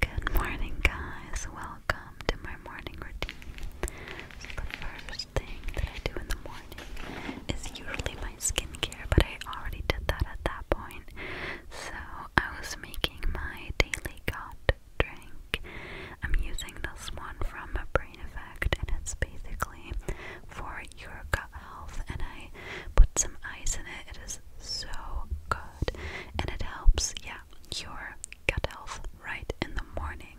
Good morning, guys. Welcome to my morning routine. the first thing that I do in the morning is usually my skincare, but I already did that at that point. So, I was making my daily gut drink. I'm using this one from Brain Effect, and it's basically for your gut health. And I put some ice in it. It is so good, and it helps, yeah, your gut health right in the morning.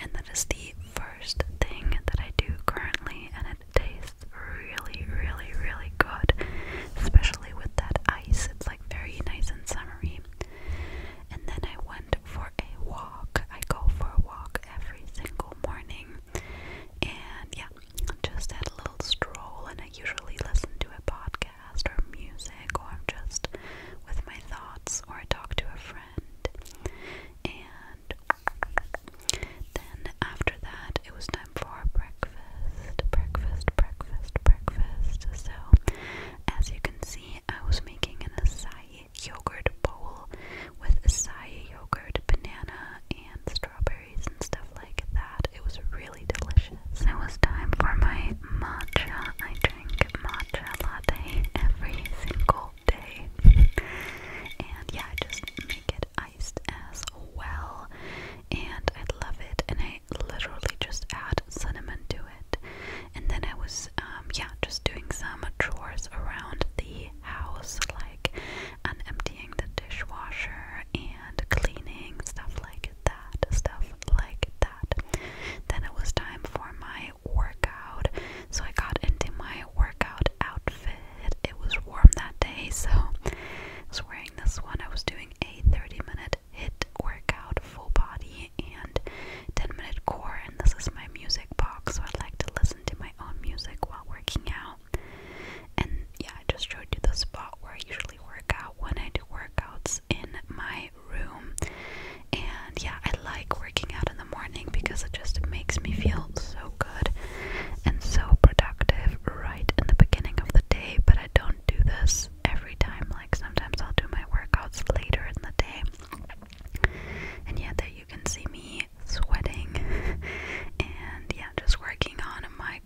And that is the first thing that I do currently, and it tastes really, really, really good, especially with that ice. It's like very nice and summery. And then I went for a walk. I go for a walk every single morning. And yeah, just had a little stroll, and I usually listen to a podcast or music, or I'm just with my thoughts, or I talk to a friend. And then after that, it was time for breakfast. Breakfast, breakfast, breakfast. So, as you can see, I was making an acai yogurt bowl with acai yogurt, banana, and strawberry and stuff like that. It was really delicious. It was time for my matcha. I drink matcha latte every single day. and yeah, I just make it iced as well. And I love it. And I literally just add cinnamon to it. And then I was, um, yeah, just doing some chores around the house, like um, emptying the dishwasher and cleaning, stuff like that, stuff like that. Then it was time for my workout, so I got into my workout outfit. It was warm that day, so I was wearing this one. I was doing a 30 minute hit workout, full body, and 10 minute core. And this is my music box, so I like to listen to my own music while working out. And yeah, I just showed you the spot where I usually daily workout when I do workouts in my room. And yeah, I like working out in the morning because it just makes me feel so good and so productive right in the beginning of the day. But I don't do this every time, like, sometimes I'll do my workouts later in the day. And yeah, there you can see me sweating and yeah, just working on my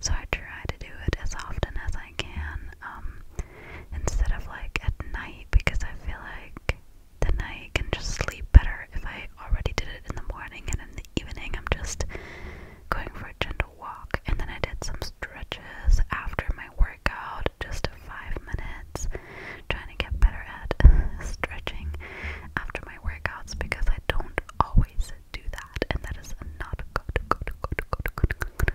so I try to do it as often as I can, um, instead of like at night because I feel like the night can just sleep better if I already did it in the morning and in the evening I'm just going for a gentle walk and then I did some stretches after my workout, just five minutes, trying to get better at stretching after my workouts because I don't always do that and that is not good, good, good, good, good, good,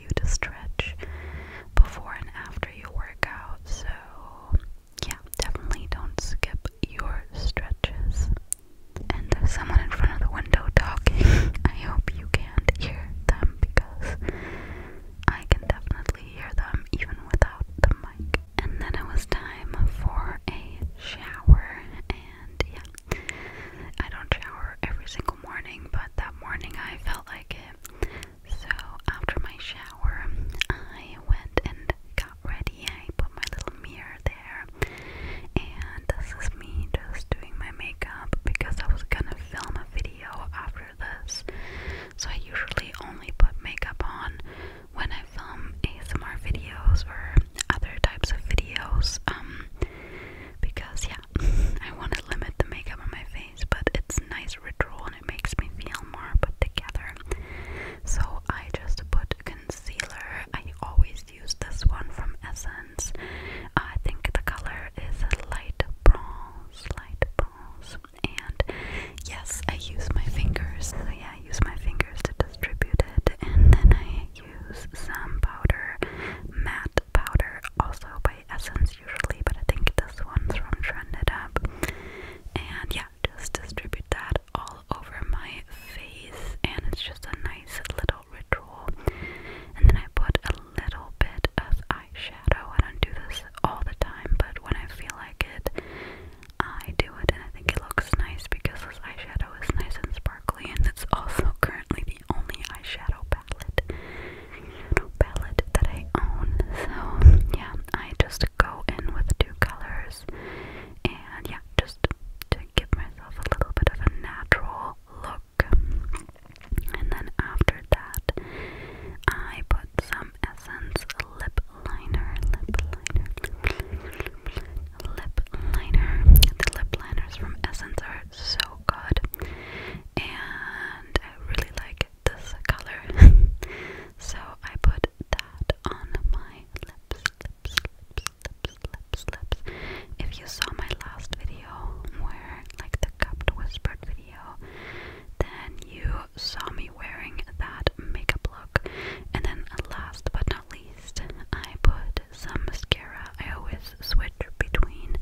you to stretch before and after you work out. So, yeah, definitely don't skip your stretches. And there's someone in front of the window talking. I hope you can't hear them because I can definitely hear them even without the mic. And then it was time for a shower. And yeah, I don't shower every single morning, but that morning I felt like it. So after my shower, I went and got ready. I put my little mirror there, and this is me just doing my makeup because I was gonna film a video after this. So I usually only put makeup on when I film ASMR videos or other types of videos, um, because yeah, I want to limit the makeup on my face but it's nice ritual and it makes me feel more put together. So I just put concealer. I always use this one from Essence. I think the color is light bronze, light bronze. And yes, I use my fingers. So yeah, I use my fingers to distribute it, and then I use some powder, matte powder, also by by Essence usually, but I think this one's from Trended Up. And yeah, just distribute that all over my face, and it's just a nice little ritual. And then I put a little bit of eyeshadow. I don't do this all the time, but when I feel like it, I do it, and I think it looks nice because this eyeshadow is nice and sparkly, and it's also currently the the only eyeshadow palette, eyeshadow palette that I own. So yeah, I just go in with two colors, and yeah, just to give myself a little bit of a natural look. And then after that, I put some Essence lip liner, lip liner, lip liner. The lip liners from Essence are so good. And I really like this color. so I put that on my lips, lips, lips, lips, lips, lips. If you saw my last video where like the cupped whispered video, then you saw me wearing that makeup look. And then last but not least, I put some mascara. I always switch between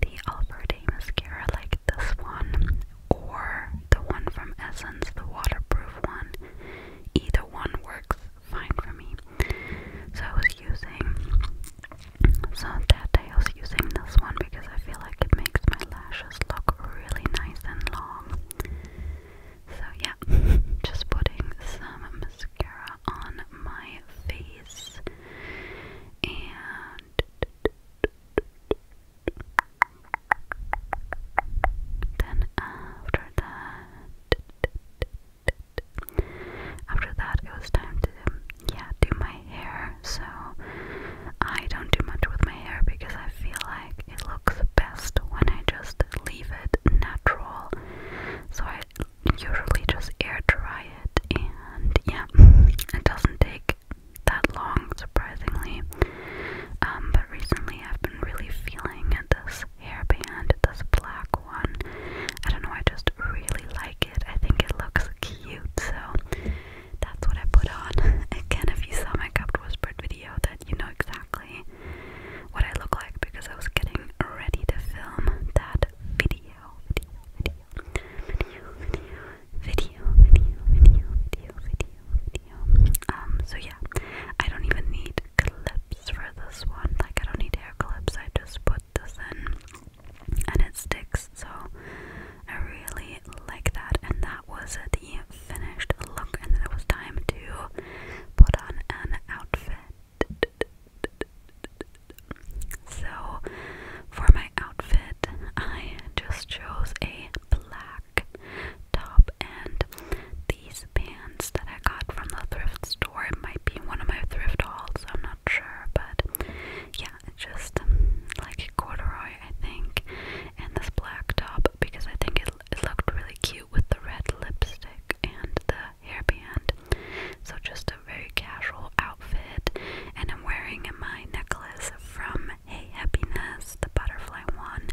the Alfred day mascara like this one or the one from Essence, the waterproof one. Either one works fine for me. So I was using so that day I was using this one because I feel like it makes my lashes look really nice and long. So yeah, just putting some mascara on my face and then after that, after that it was time to yeah do my hair. So I don't do much with my hair because I feel like it looks best when I just leave it natural. So I usually just air dry and yeah, it doesn't take that long, surprisingly. Um, but recently I've been really feeling this hairband, this black one. I don't know, I just really like it. I think it looks cute, so that's what I put on. Again, if you saw my cupped whispered video, then you know exactly what I look like because I was getting ready to film that video video, video, video, video, video, video, video. Um, so yeah, I don't even need clips for this one. Like I don't need hair clips. I just put this in, and it sticks. So I really like that. And that was the finished look. And then it was time to put on an outfit. So, for my outfit, I just chose a black top and these pants that I got from the thrift store. It might be one of my thrift hauls, I'm not sure, but yeah, it's just um, like corduroy, I think, and this black top because I think it, it looked really cute with the red lipstick and the hairband. So, just very casual outfit, and I'm wearing my necklace from a Happiness, the butterfly one.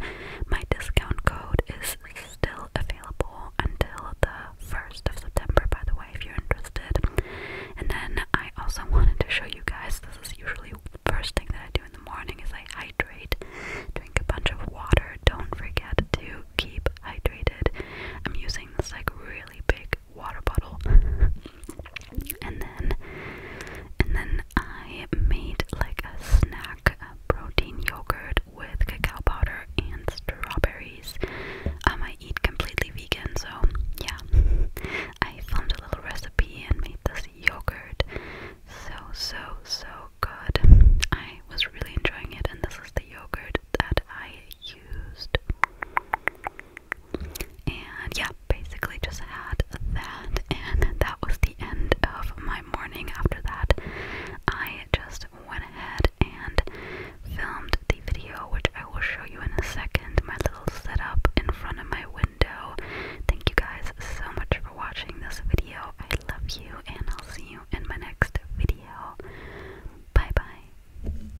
My discount code is still available until the 1st of September, by the way, if you're interested. And then I also wanted to show you guys this is usually the first thing that I do in the morning is I hydrate, drink a bunch of water. Don't forget to keep hydrated. I'm using this like really big water bottle. and then and then I made like a snack a protein yogurt with cacao powder and strawberries. I'm um, I eat completely vegan, so yeah. I found a little recipe and made this yogurt. So so so good. I was really enjoying it and this is the yogurt that I used. And yeah, basically just had that, and that was the end of my morning. After that, I just went ahead and filmed the video, which I will show you in a second. My little setup in front of my window. Thank you guys so much for watching this video. I love you, and I'll see you in my next video. Bye bye.